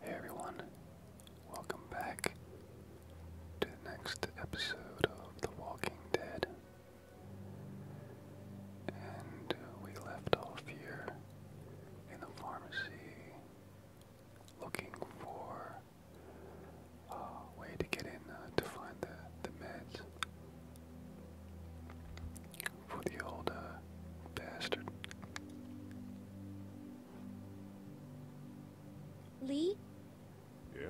Hey everyone, welcome back to the next episode of The Walking Dead. And uh, we left off here in the pharmacy looking for uh, a way to get in uh, to find the, the meds for the old bastard. Lee? Yeah?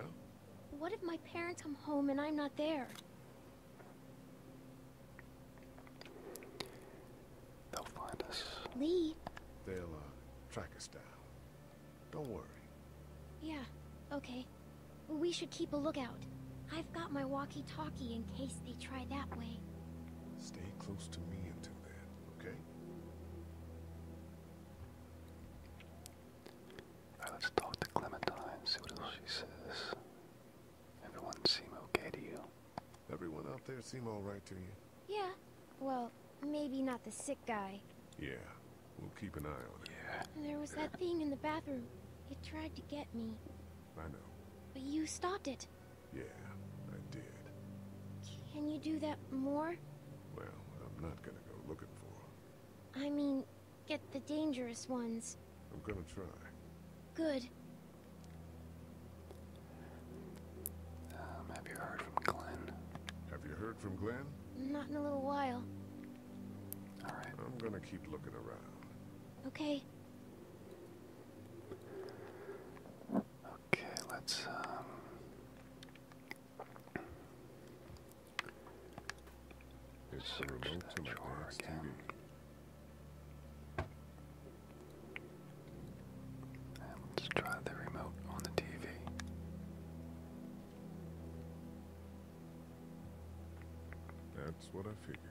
What if my parents come home and I'm not there? They'll find us. Lee? They'll, uh, track us down. Don't worry. Yeah, okay. We should keep a lookout. I've got my walkie-talkie in case they try that way. Stay close to me until then. Okay. let's talk to Clementine, see what else she says. Everyone seem okay to you? Everyone out there seem alright to you? Yeah. Well, maybe not the sick guy. Yeah. We'll keep an eye on it. Yeah. there was that thing in the bathroom. It tried to get me. I know. But you stopped it. Yeah, I did. Can you do that more? Well, I'm not gonna go looking for I mean, get the dangerous ones. I'm gonna try. Good. Um, have you heard from Glenn? Have you heard from Glenn? Not in a little while. Alright. I'm gonna keep looking around. Okay. Okay, let's um There's search that drawer again. let's try the remote on the TV. That's what I figured.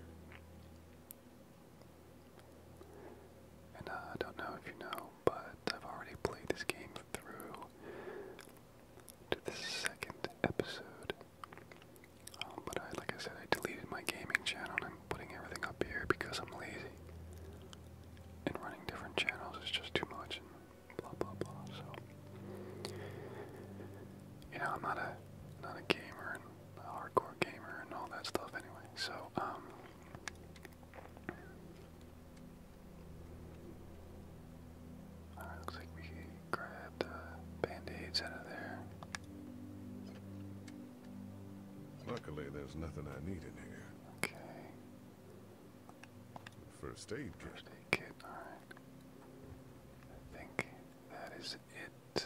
And uh, I don't know if you know, but I've already played this game through to the second episode. Um, but I, like I said, I deleted my gaming channel I'm putting everything up here because I'm lazy. And running different channels is just too much blah blah blah. So you know, I'm not a not a gamer and a hardcore gamer and all that stuff anyway. So um uh, looks like we can grab the band-aids out of there. Luckily, there's nothing I need in here. Okay. First aid kit. I think that is it.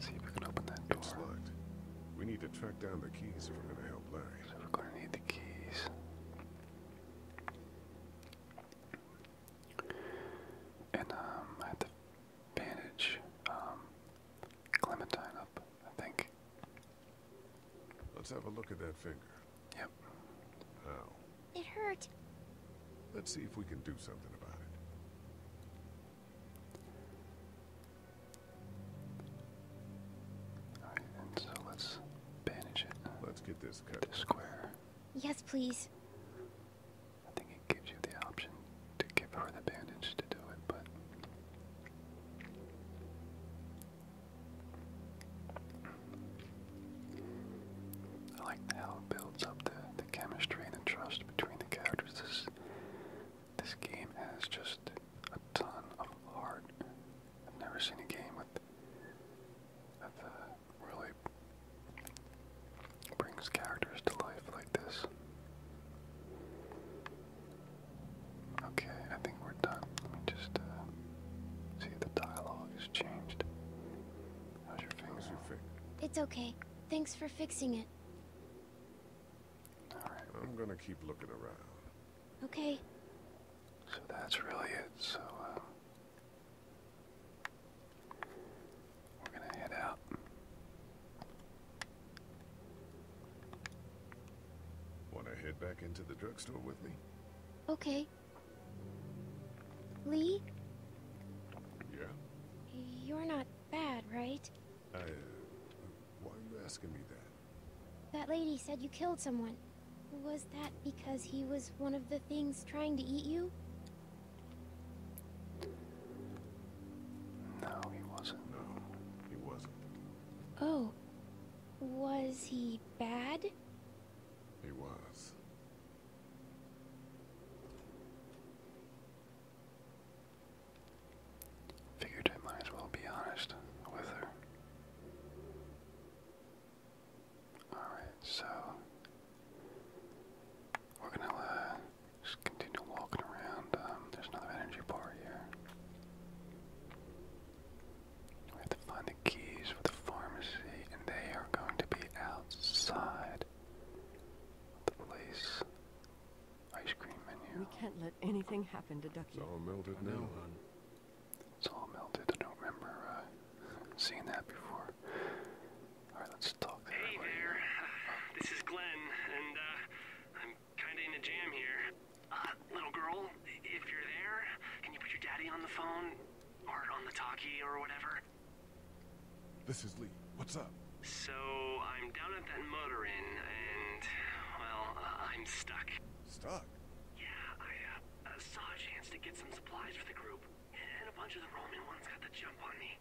See if we can open that door. It's locked. We need to track down the keys if we're gonna help Larry. we're gonna need the keys. And um, I had to bandage um, Clementine up, I think. Let's have a look at that finger. Yep. How? It hurt. Let's see if we can do something about it. All right, so let's bandage it. Let's get this cut. square. Yes, please. I think it gives you the option to give her the bandage to do it, but I like how it builds up the, the chemistry and the trust between the characters. This, game has just a ton of heart. I've never seen a game with that uh, really brings characters to life like this. Okay, I think we're done. Let me just uh, see the dialogue has changed. How's your finger? It's okay. Thanks for fixing it. All right. I'm gonna keep looking around. Okay. So that's really it. So uh, we're gonna head out. Wanna head back into the drugstore with me? Okay. Lee? Yeah? You're not bad, right? I, uh, why are you asking me that? That lady said you killed someone. Was that because he was one of the things trying to eat you? No, he wasn't. No, he wasn't. Oh. Was he bad? He was. Figured I might as well be honest with her. Alright, so we're gonna uh, just continue walking around. Um, there's another energy bar here. We have to find the keys for the pharmacy, and they are going to be outside the place. Ice cream menu. We can't let anything happen to Ducky. It's all melted now, no, It's all melted. I don't remember uh, seeing that before. All right, let's talk Hey there. This is Glenn, and uh, I'm kind of in a jam here. Uh, little girl, if you're there, can you put your daddy on the phone? Or on the talkie or whatever? This is Lee. What's up? So, I'm down at that motor inn, and, well, uh, I'm stuck. Stuck? Yeah, I, uh, saw a chance to get some supplies for the group, and a bunch of the Roman ones got the jump on me.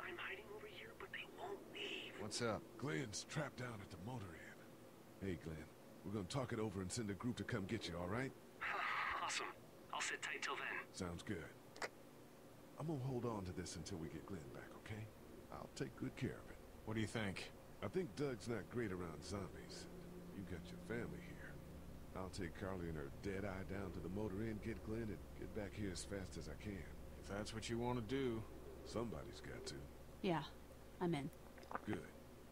I'm hiding over here, but they won't leave. What's up? Glenn's trapped down at the motor inn. Hey, Glenn. We're gonna talk it over and send a group to come get you, all right? awesome. I'll sit tight till then. Sounds good. I'm gonna hold on to this until we get Glenn back, okay? I'll take good care of it. What do you think? I think Doug's not great around zombies. You got your family here. I'll take Carly and her dead eye down to the motor inn, get Glenn, and get back here as fast as I can. If that's what you want to do. Somebody's got to. Yeah, I'm in. Good.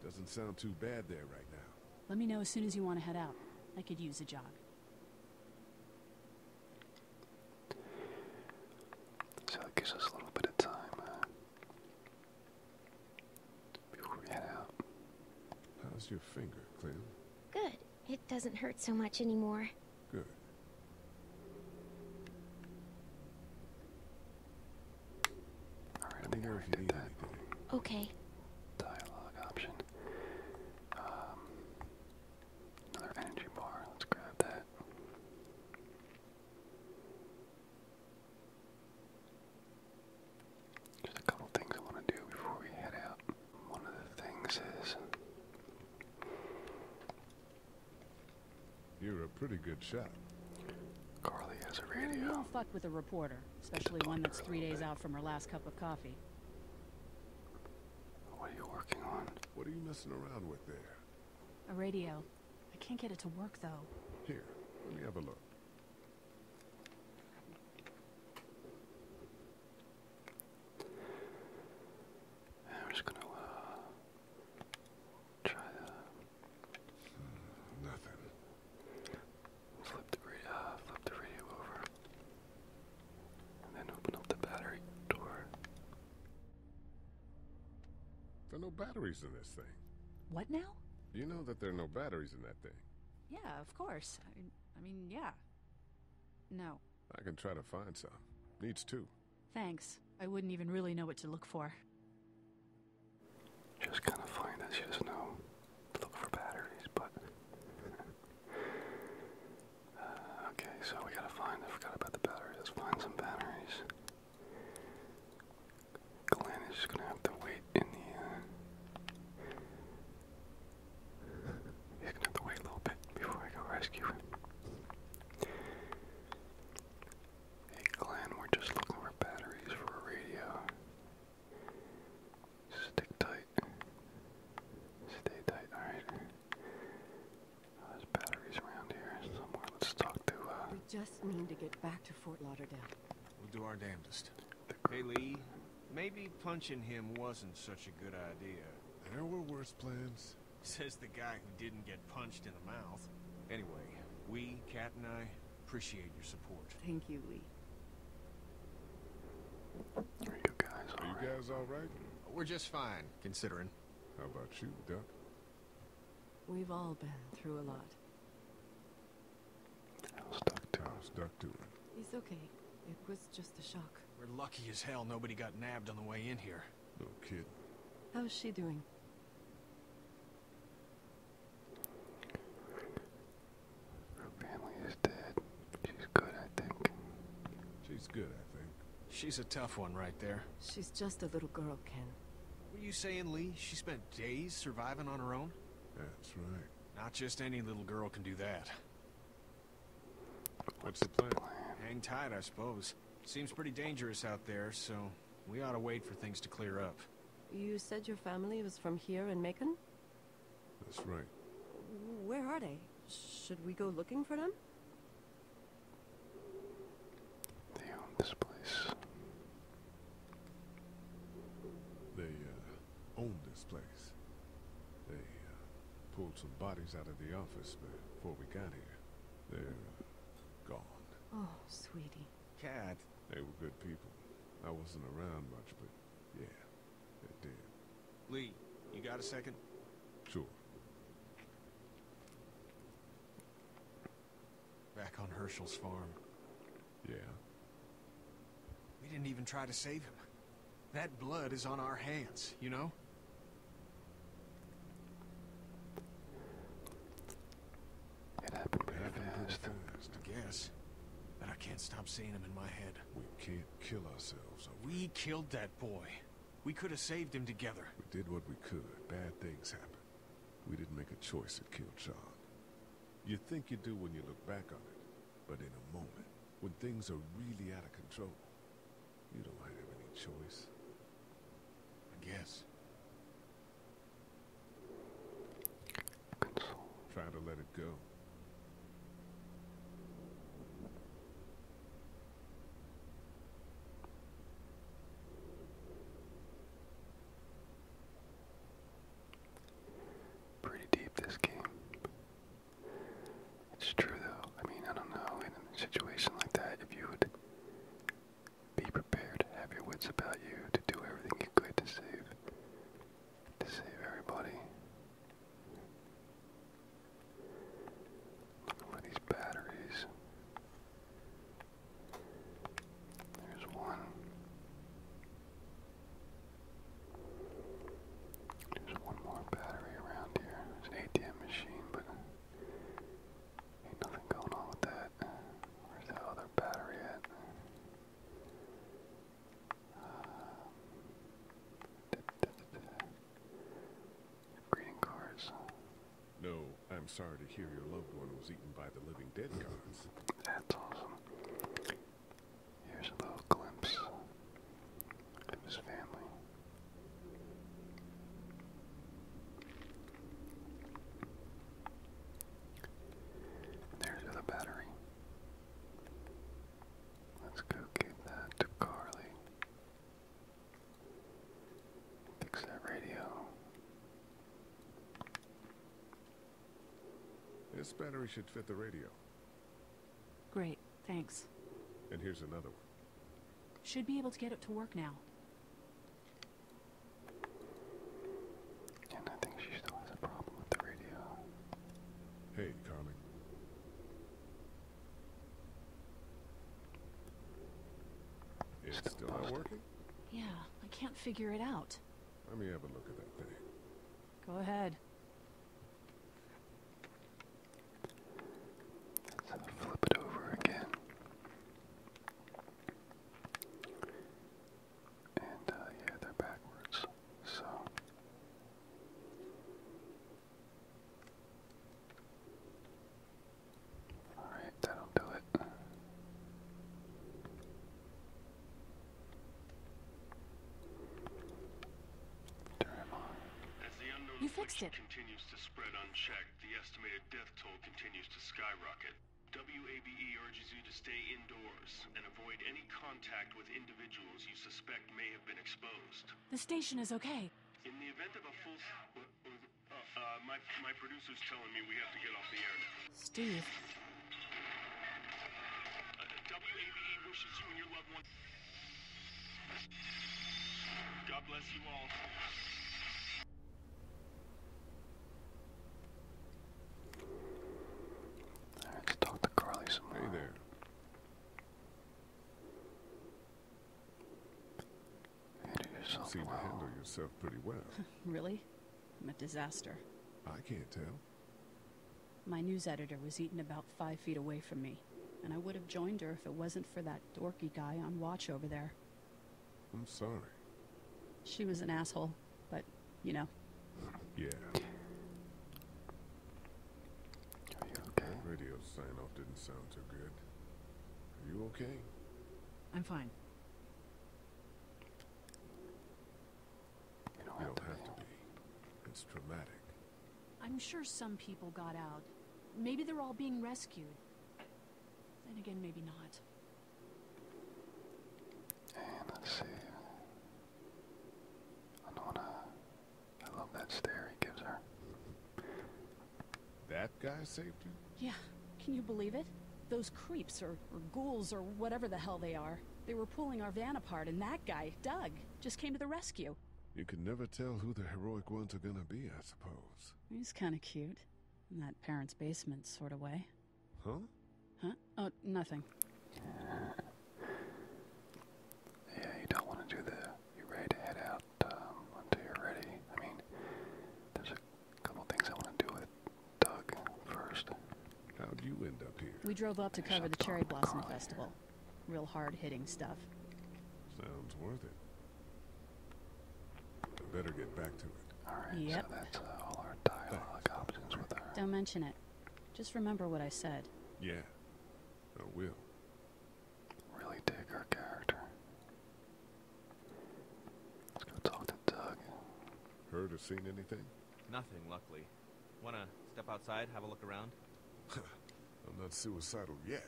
Doesn't sound too bad there right now. Let me know as soon as you want to head out. I could use a jog. So it gives us a little bit of time uh, before we head out. How's your finger, Clem? Good. It doesn't hurt so much anymore. Good. Okay. Dialogue option. Um, another energy bar. Let's grab that. Just a couple things I want to do before we head out. One of the things is. You're a pretty good shot. Carly has a radio. You don't fuck with a reporter, especially one that's three days out from her last cup of coffee. What are you working on? What are you messing around with there? A radio. I can't get it to work though. Here, let me have a look. I'm just gonna uh, try the Nothing. Uh, flip the radio, over, and then open up the battery door. There are no batteries in this thing. What now? You know that there are no batteries in that thing. Yeah, of course. I mean, yeah. No. I can try to find some. Needs two. Thanks. I wouldn't even really know what to look for. Just kind of find us, you just know, look for batteries, but. Uh, okay, so we gotta find, I forgot about the batteries, let's find some batteries. Glenn is just gonna have to wait in the, uh, he's gonna have to wait a little bit before I go rescue him. Hey Glenn, we're just looking for batteries for a radio. Stick tight. Stay tight, alright. Uh, batteries around here Let's talk to uh, We just need to get back to Fort Lauderdale. We'll do our damnedest. Hey Lee, maybe punching him wasn't such a good idea. There were worse plans. Says the guy who didn't get punched in the mouth. Anyway, we, Cat and I, Appreciate your support. Thank you, Lee. Are you guys all right? We're just fine, considering. How about you, Duck? We've all been through a lot. I was Duck too. I He's okay. It was just a shock. We're lucky as hell nobody got nabbed on the way in here. No kid. How's she doing? Her family is dead. She's good, I think. She's good, I think. She's a tough one right there. She's just a little girl, Ken. What are you saying, Lee, she spent days surviving on her own? That's right. Not just any little girl can do that. What's the plan? Hang tight, I suppose. Seems pretty dangerous out there, so we ought to wait for things to clear up. You said your family was from here in Macon? That's right. Where are they? Should we go looking for them? They own this place. They uh, own this place. They uh, pulled some bodies out of the office before we got here. They're gone. Oh, sweetie. Cat, they were good people. I wasn't around much, but yeah, they did. Lee, you got a second? Sure. Back on Herschel's farm. Yeah. We didn't even try to save him. That blood is on our hands, you know? It happened pretty fast. I guess. But I can't stop seeing him in my head. We can't kill ourselves. We killed that boy. We could have saved him together. We did what we could. Bad things happen. We didn't make a choice that killed John. You think you do when you look back on it. But in a moment, when things are really out of control, you don't have any choice. I guess. Trying to let it go. Pretty deep this game. It's true though. I mean, I don't know. In a situation like that, if you would be prepared, have your wits about you, to do everything you could to save to save everybody. Looking for these batteries. There's one. There's one more battery around here. There's an ATM machine, but ain't nothing going on with that. Where's that other battery at? Um, da, No, I'm sorry to hear your loved one was eaten by the living dead gods. That's awesome. Here's a little glimpse of his family. There's the battery. Let's go give that to Carly. Fix that radio. This battery should fit the radio. Great, thanks. And here's another one. Should be able to get it to work now. Hey, Carmen. It's still, not working? Yeah, I can't figure it out. Let me have a look at that thing. Go ahead. flip it over again. And uh, yeah, they're backwards. So Alright, that'll do it. As the unknown you fixed it. continues to spread unchecked, the estimated death toll continues to skyrocket. WABE urges you to stay indoors and avoid any the station is okay. In the event of a full... Uh, uh, my, my producer's telling me we have to get off the air Steve. Uh, WABE wishes you and your loved ones... God bless you all. Alright, let's talk to Carly some more. Hey there. You Seem to handle yourself pretty well. really? I'm a disaster. I can't tell. My news editor was eating about five feet away from me, and I would have joined her if it wasn't for that dorky guy on watch over there. I'm sorry. She was an asshole. But, you know. Yeah. Are okay? Radio sign off didn't sound too good. Are you okay? I'm fine. You don't, have, to be. It's traumatic. I'm sure some people got out. Maybe they're all being rescued. Then again, maybe not. And let see. I love that stare he gives her. That guy saved you? Yeah. Can you believe it? Those creeps, or ghouls, or whatever the hell they are. They were pulling our van apart, and that guy, Doug, just came to the rescue. You can never tell who the heroic ones are gonna be, I suppose. He's kinda cute. In that parents' basement sort of way. Huh? Huh? Oh, nothing. Yeah, you don't want to do the. You're ready to head out um, until you're ready. I mean, there's a couple things I want to do with Doug first. How'd you end up here? We drove up to cover the Cherry Blossom Festival. Real hard hitting stuff. Sounds worth it. better get back to it. Alright, yep. that's uh, all our dialogue options with her. Don't mention it. Just remember what I said. Yeah, I will. Really dig her character. Let's go talk to Doug. Heard or seen anything? Nothing, luckily. Wanna step outside, have a look around? I'm not suicidal yet.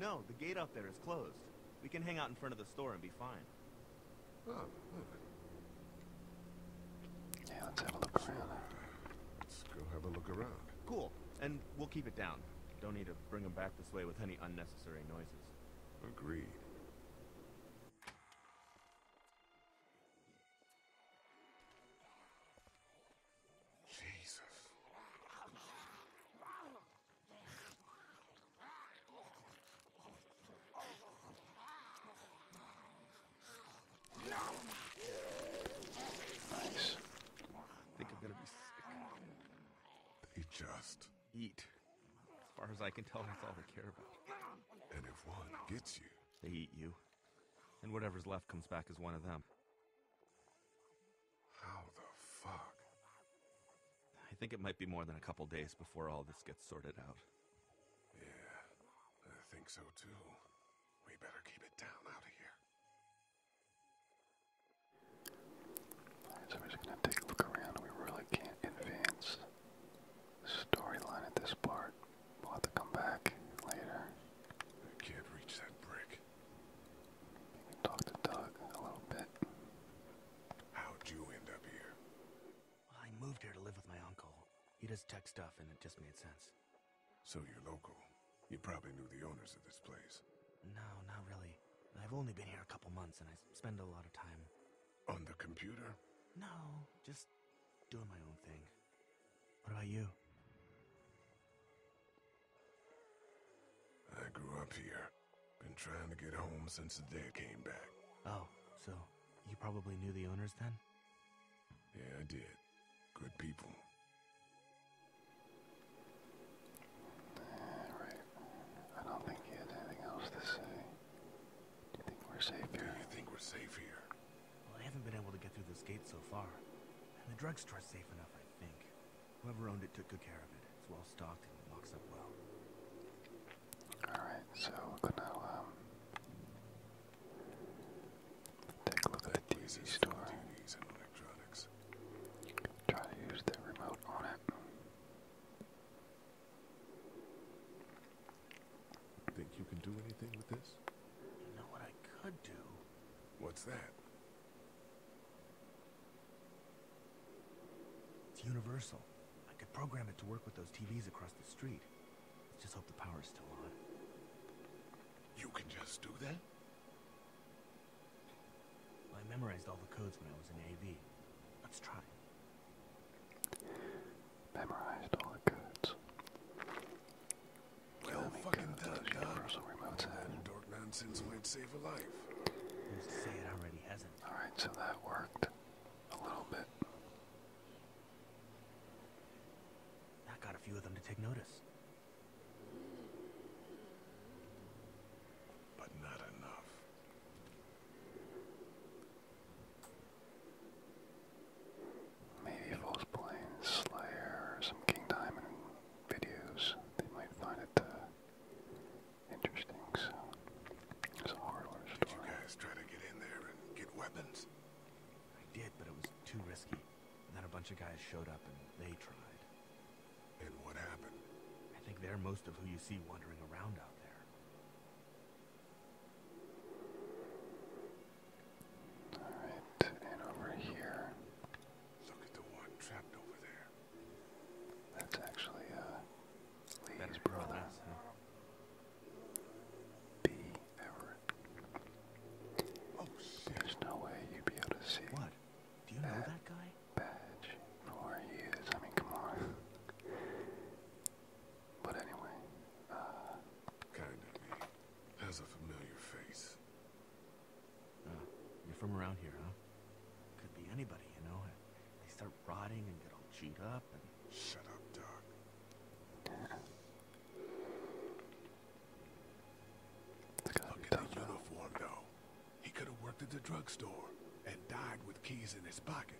No, the gate out there is closed. We can hang out in front of the store and be fine. Oh, yeah, let's have a look around. Let's go have a look around. Cool. And we'll keep it down. Don't need to bring them back this way with any unnecessary noises. Agreed. Jesus. They just eat. As far as I can tell, that's all they care about. And if one gets you, they eat you. And whatever's left comes back as one of them. How the fuck? I think it might be more than a couple days before all this gets sorted out. Yeah, I think so too. We better keep it down out of here. so we're just gonna take a look around. We really can't advance storyline at this part. We'll have to come back later. I can't reach that brick. We can talk to Doug a little bit. How'd you end up here? I moved here to live with my uncle. He does tech stuff and it just made sense. So you're local. You probably knew the owners of this place. No, not really. I've only been here a couple months and I spend a lot of time. On the computer? No, just doing my own thing. What about you? I grew up here. Been trying to get home since the day I came back. Oh, so you probably knew the owners then? Yeah, I did. Good people. Alright. I don't think he had anything else to say. Do you think we're safe here? Do you think we're safe here? Well, I haven't been able to get through this gate so far. And the drugstore's safe enough, I think. Whoever owned it took good care of it. It's well stocked and locks up well. Alright, so we're Take a look at the TV store. TVs to use the remote on it. Think you can do anything with this? You know what I could do? What's that? It's universal. I could program it to work with those TVs across the street. Just hope the power's still on. You can just do that? I memorized all the codes when I was in AV. Let's try. Memorized all the codes. fucking that universal remotes had. might save a life. say it already hasn't? Alright, so that worked. A little bit. That got a few of them to take notice. But not enough. Maybe if I was Slayer or some King Diamond videos, they might find it uh, interesting. So it's a you guys try to get in there and get weapons? I did, but it was too risky. And then a bunch of guys showed up and they tried. And what happened? I think they're most of who you see wandering around out there. Alright, and over here. Look at the one trapped over there. That's actually, uh, Lee's brother. There's no way you'd be able to see that, know that guy? where he is. I mean, come on. but anyway, uh, Kind of me. a familiar face. Uh, you're from around here, huh? Could be anybody, you know. They start rotting and get all chewed up and... Shut up, Doc. Look at the uniform, though. He could have worked at the drugstore and died with keys in his pocket.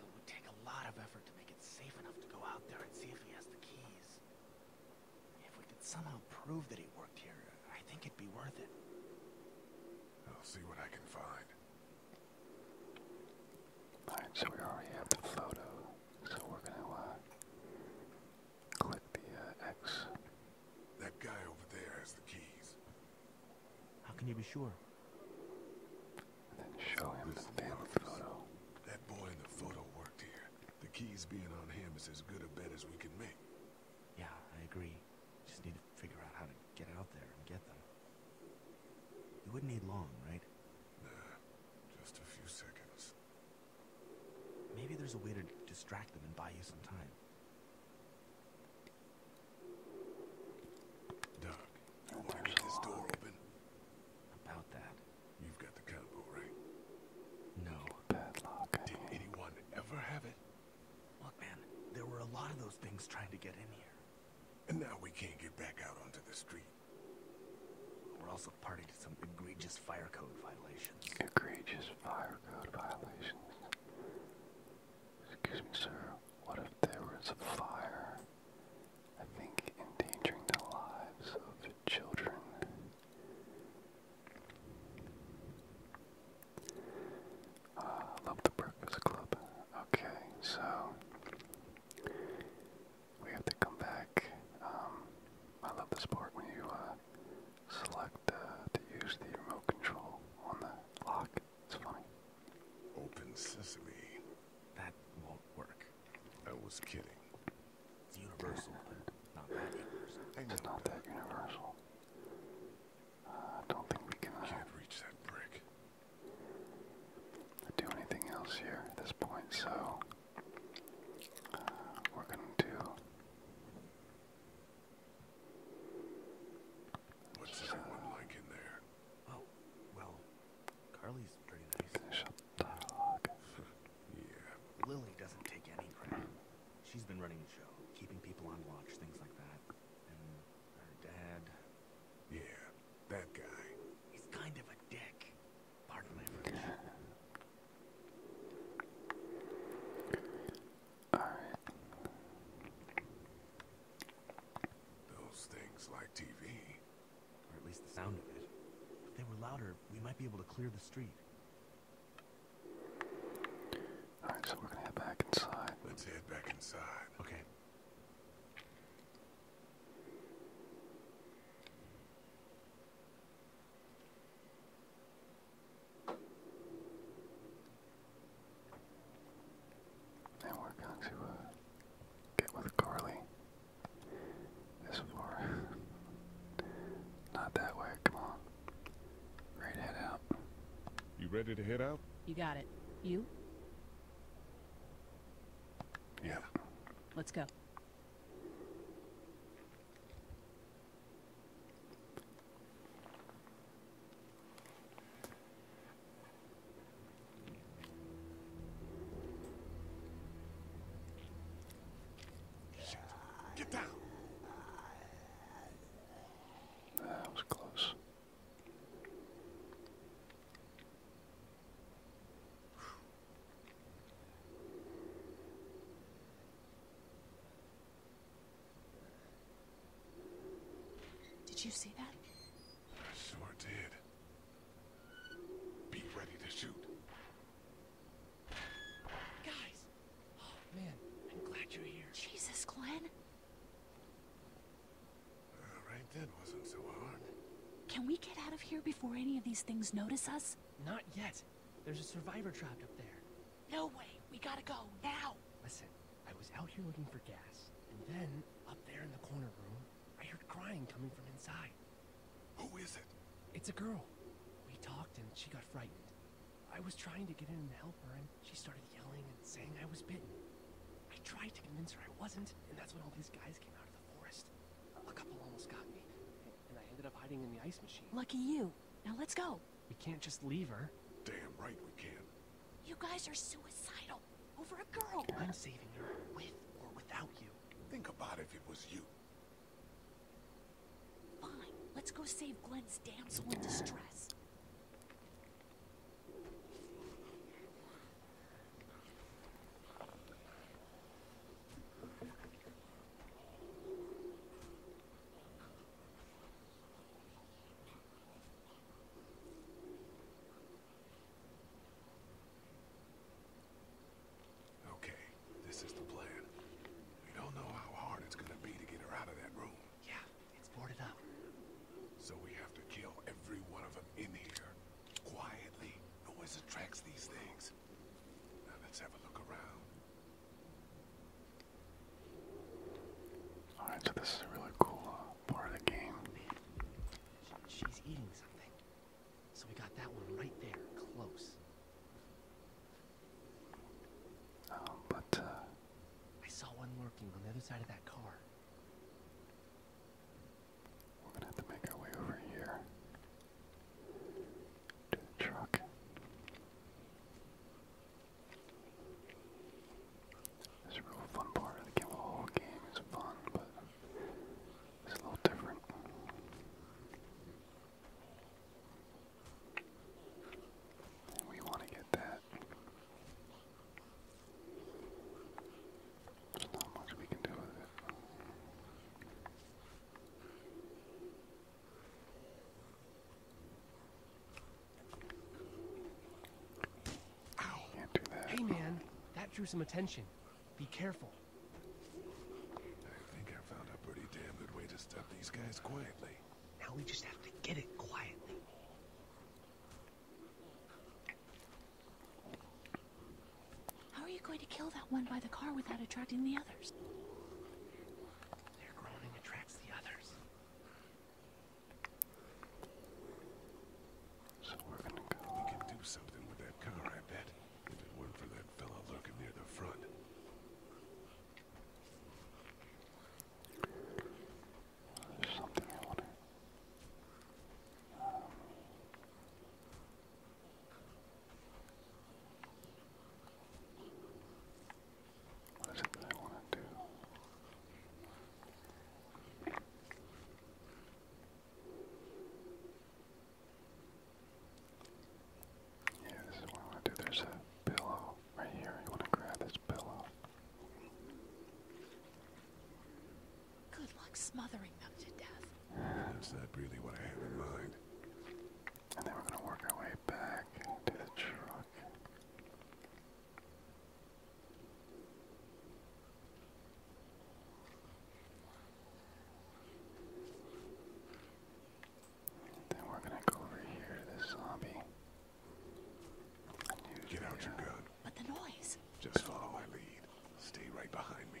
It would take a lot of effort to make it safe enough to go out there and see if he has the keys. If we could somehow prove that he worked here, I think it'd be worth it. I'll see what I can find. so we have the photo. So we're gonna uh, click the uh, X. That guy over there has the keys. How can you be sure? then show him the family photo. That boy in the photo worked here. The keys being on him is as good a bet as we can make. Yeah, I agree. Just need to figure out how to get out there and get them. You wouldn't need long, right? Just a few seconds. Maybe there's a way to distract them and buy you some time. Doc, you want this door open? About that. You've got the combo, right? No. Padlock. Did anyone ever have it? Look, man, there were a lot of those things trying to get in here. And now we can't get back out onto the street. We're also party to some egregious fire code violations. Egregious fire code violations. Excuse me, sir. What if there was a fire? I think endangering the lives of children. Uh, love the Breakfast Club. Okay, so we have to come back. Um, I love this part when you uh, select uh, to use the remote control on the lock. It's funny. Open sesame. That won't work. I was kidding. It's universal, not that universal. Uh, I don't think we can. Can't reach that brick. Do anything else here at this point, so we're going to. What's uh, everyone like in there? Oh, well, Carly's pretty nice. yeah. Lily doesn't take any crap. She's been running the show, keeping people on watch, things like that. And her dad. Yeah, that guy. He's kind of a dick. Alright. Those things like TV. Or at least the sound of it. If they were louder, we might be able to clear the street. Alright, so we're gonna head back inside. Let's head back inside. Okay. And we're to uh, get with Carly. This far. Not that way, come on. Right head out. You ready to head out? You got it. You? Yeah. Let's go. Get down. That was close. Did you see that? Sure did. Be ready to shoot. Guys! Oh, man. I'm glad you're here. Jesus, Glenn. right then wasn't so hard. Can we get out of here before any of these things notice us? Not yet. There's a survivor trapped up there. No way. We gotta go, now. Listen, I was out here looking for gas, and then, up there in the corner room, I heard crying coming from inside. Who is it? It's a girl. We talked and she got frightened. I was trying to get in and help her, and she started yelling and saying I was bitten. I tried to convince her I wasn't, and that's when all these guys came out of the forest fast. A couple almost got me, and I ended up hiding in the ice machine. Lucky you. Now let's go. We can't just leave her. Damn right we can. not You guys are suicidal over a girl. I'm saving her with or without you. Think about if it was you. Fine. Let's go save Glenn's damsel in distress. Okay, this is the plan. We don't know how hard it's gonna be to get her out of that room. Yeah, it's boarded up. So we have to kill every one of them in here. Quietly. Noise attracts these things. Alright, so this is a really cool uh, part of the game. she's eating something. So we got that one right there, close. Um, but, uh, I saw one lurking on the other side of that car. We're gonna have to make our way over here to truck. It's a real fun part of the game. The whole game is fun, but it's a little different. we want to get that. There's much we can do with it. Hey man, that drew some attention. Be careful. I think I found a pretty damn good way to stop these guys quietly. Now we just have to get it quietly. How are you going to kill that one by the car without attracting the others? Their groaning attracts the others. So we're gonna go. We can do something with that car, I bet. If it weren't for that fella lurking near the front. There's something I what is it I want to do? Yeah, this is I want to do. There's a pillow right here. You want to grab this pillow. Good luck smothering them to death. Is that really what I have in mind? And then we're going to work our way back to the truck. Then we're gonna go over here to this zombie. Get out your gun. But the noise. Just follow my lead. Stay right behind me.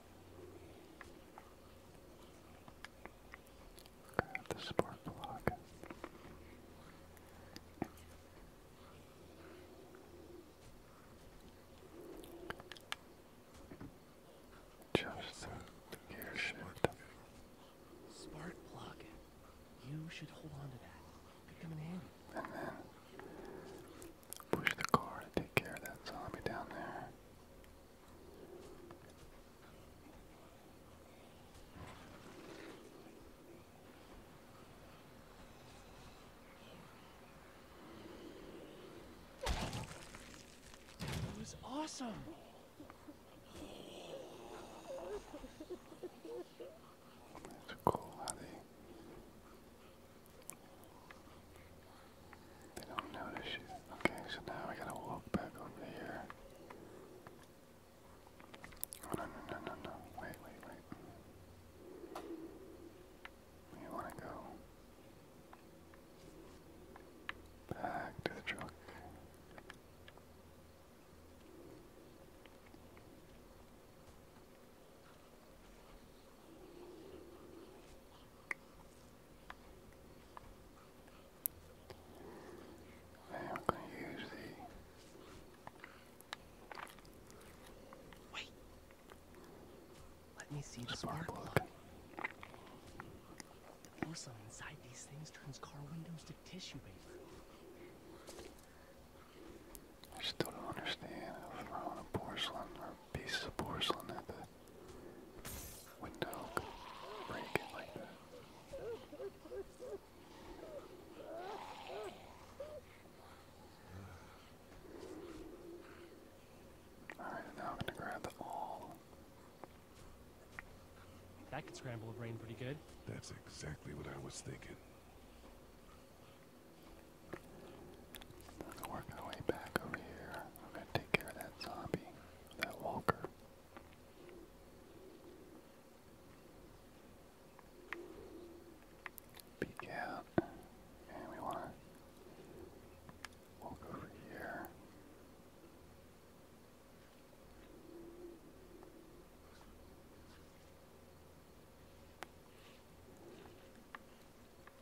Grab the support block. Just the gear shift. Smart block. You should hold on to that. come in handy. push the car to take care of that zombie down there was awesome. It's cool how they they don't notice you. Okay, so now I gotta walk back over here. no, no, no, no, no. Wait, wait, wait. You wanna go back to the truck. I'm going to use the. Wait. Let me see the spark plug. The porcelain inside these things turns car windows to tissue paper. I still don't understand how throwing a porcelain or pieces of porcelain at the Wind dog now I'm gonna grab the all. That could scramble a brain pretty good. That's exactly what I was thinking let our way back over here. We're gonna take care of that zombie, that walker. Peek out. And we wanna walk over here.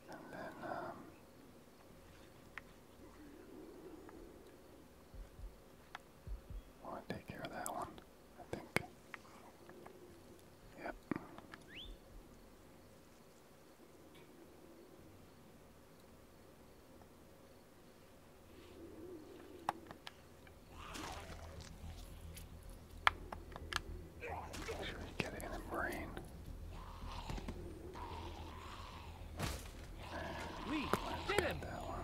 And then um, want to take care of that one, I think. Yep. Should we get it in the brain? We did him. That one.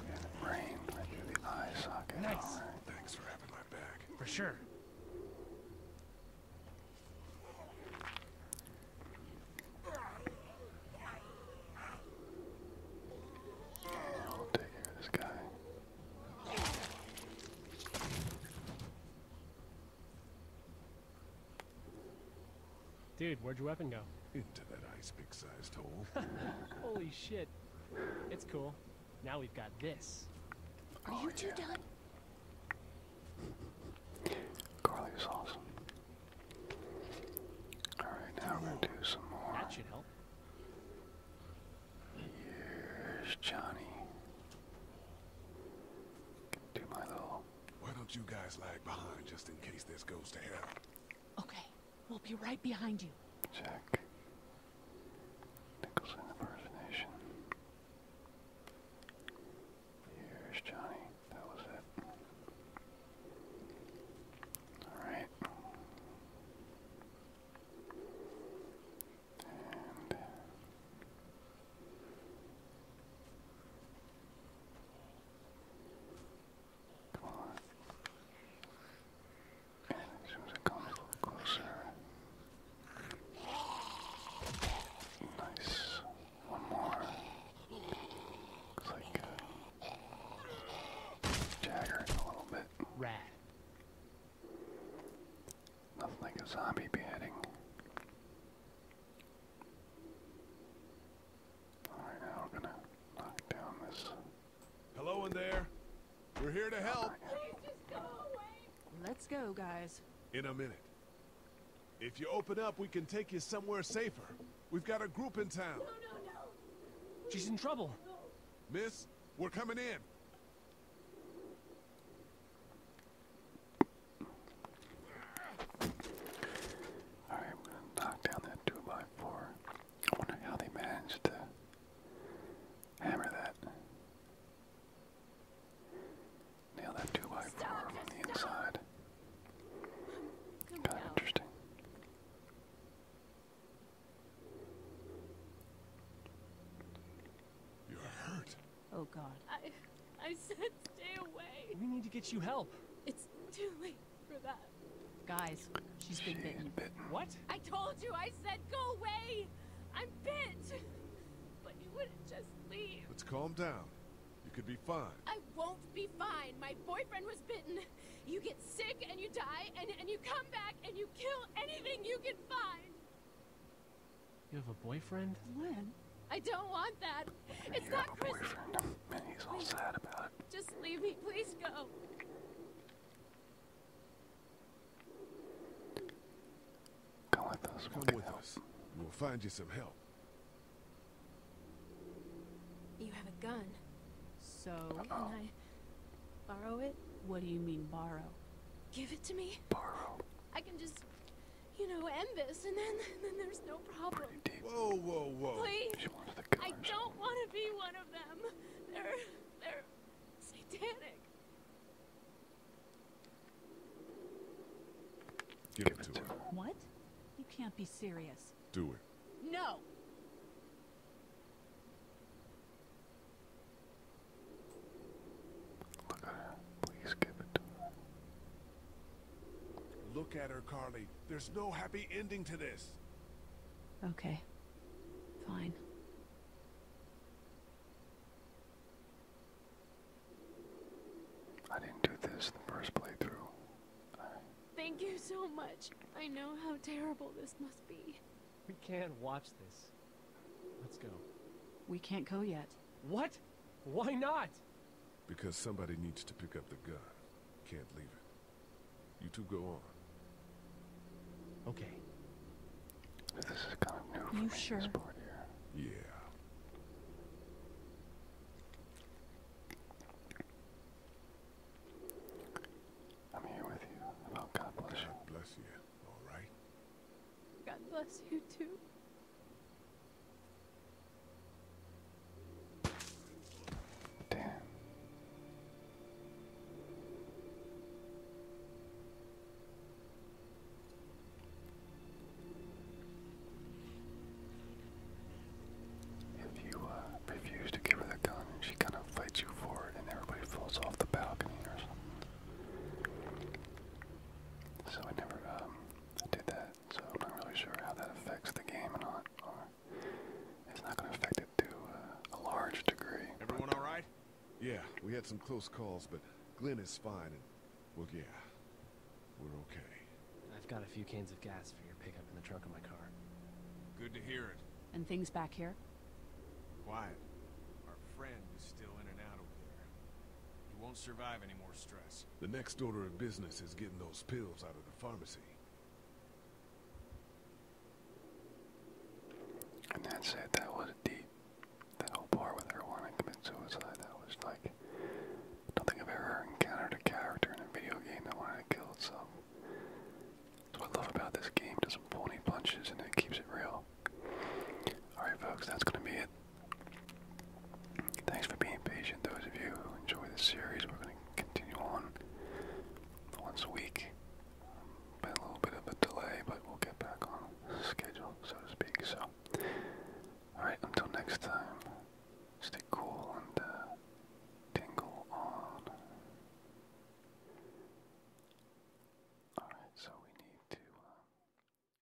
And it rained right through the eye socket. Nice. All right. Thanks for having my back. For sure. Yeah, we'll take care of this guy. Dude, where'd your weapon go? Into that ice big sized hole. Holy shit. It's cool. Now we've got this. Are you oh, two done? Carly's awesome. Alright, now we're gonna do some more. That should help. Here's Johnny. Do my little. Why don't you guys lag behind just in case this goes to hell? Okay, we'll be right behind you. Check. Nicholson impersonation. Here's Johnny. That was it. Alright. And come on. And as soon as it a little closer. Nice. One more. Looks like uh, a little bit. Rat. Nothing like a zombie beheading. Alright, now we're gonna knock down this. Hello in there. We're here to help. Let's go, guys. In a minute. If you open up, we can take you somewhere safer. We've got a group in town. No, no, no. She's in trouble. Miss, we're coming in. Alright, I'm gonna knock down that 2x4. I wonder how they managed to hammer that. Nail that 2x4 from the inside. Kind of interesting. You're hurt. Oh god. I I said stay away. We need to get you help. It's too late for that. Guys, she's been bitten. What? I told you I said go away. I'm bitten, But you wouldn't just leave. Let's calm down. You could be fine. I won't be fine. My boyfriend was bitten. You get sick and you die and, and you come back and you kill anything you can find. You have a boyfriend? Lynn, I don't want that. If it's you not have a boyfriend, and he's all sad about it. Just leave me, please go. Come with us. We'll Come with us. We'll find you some help. You have a gun. So can I borrow it? What do you mean borrow? Give it to me. Borrow. I can just you know, end this, and then then there's no problem. Whoa, whoa, whoa! Please, I don't want to be one of them. They're they're satanic. Give it to her. What? You can't be serious. Do it. No. Look at her. Please give it Look at her, Carly. There's no happy ending to this. Okay. Fine. I didn't do this the first playthrough. I... Thank you so much. I know how terrible this must be. We can't watch this. Let's go. We can't go yet. What? Why not? Because somebody needs to pick up the gun. Can't leave it. You two go on. Okay. This is kind of new for you part here. Yeah. I'm here with you. God bless God bless you, all right? God bless you, too. If you refuse uh, to give her the gun, she kind of fights you for it, and everybody falls off the balcony or something. So I never um, did that, so I'm not really sure how that affects the game or not. it's not going to affect it to uh, a large degree. Everyone all right? Yeah, we had some close calls, but Glenn is fine, and well, yeah, we're okay. I've got a few cans of gas for your pickup in the trunk of my car. Good to hear it. And things back here? Quiet. Our friend is still in and out over there. He won't survive any more stress. The next order of business is getting those pills out of the pharmacy. And that's it. That was deep. That whole part with her wanting to commit suicide, that was like... I I've ever encountered a character in a video game that wanted to kill itself. That's I love about this game. doesn't pull any punches and it keeps it real. Alright folks, that's going to be it. Thanks for being patient, those of you who enjoy the series. We're going to continue on once a week. Um, Been a little bit of a delay, but we'll get back on schedule, so to speak. So, alright, until next time, stay cool and uh, tingle on. Alright, so we need to. Um,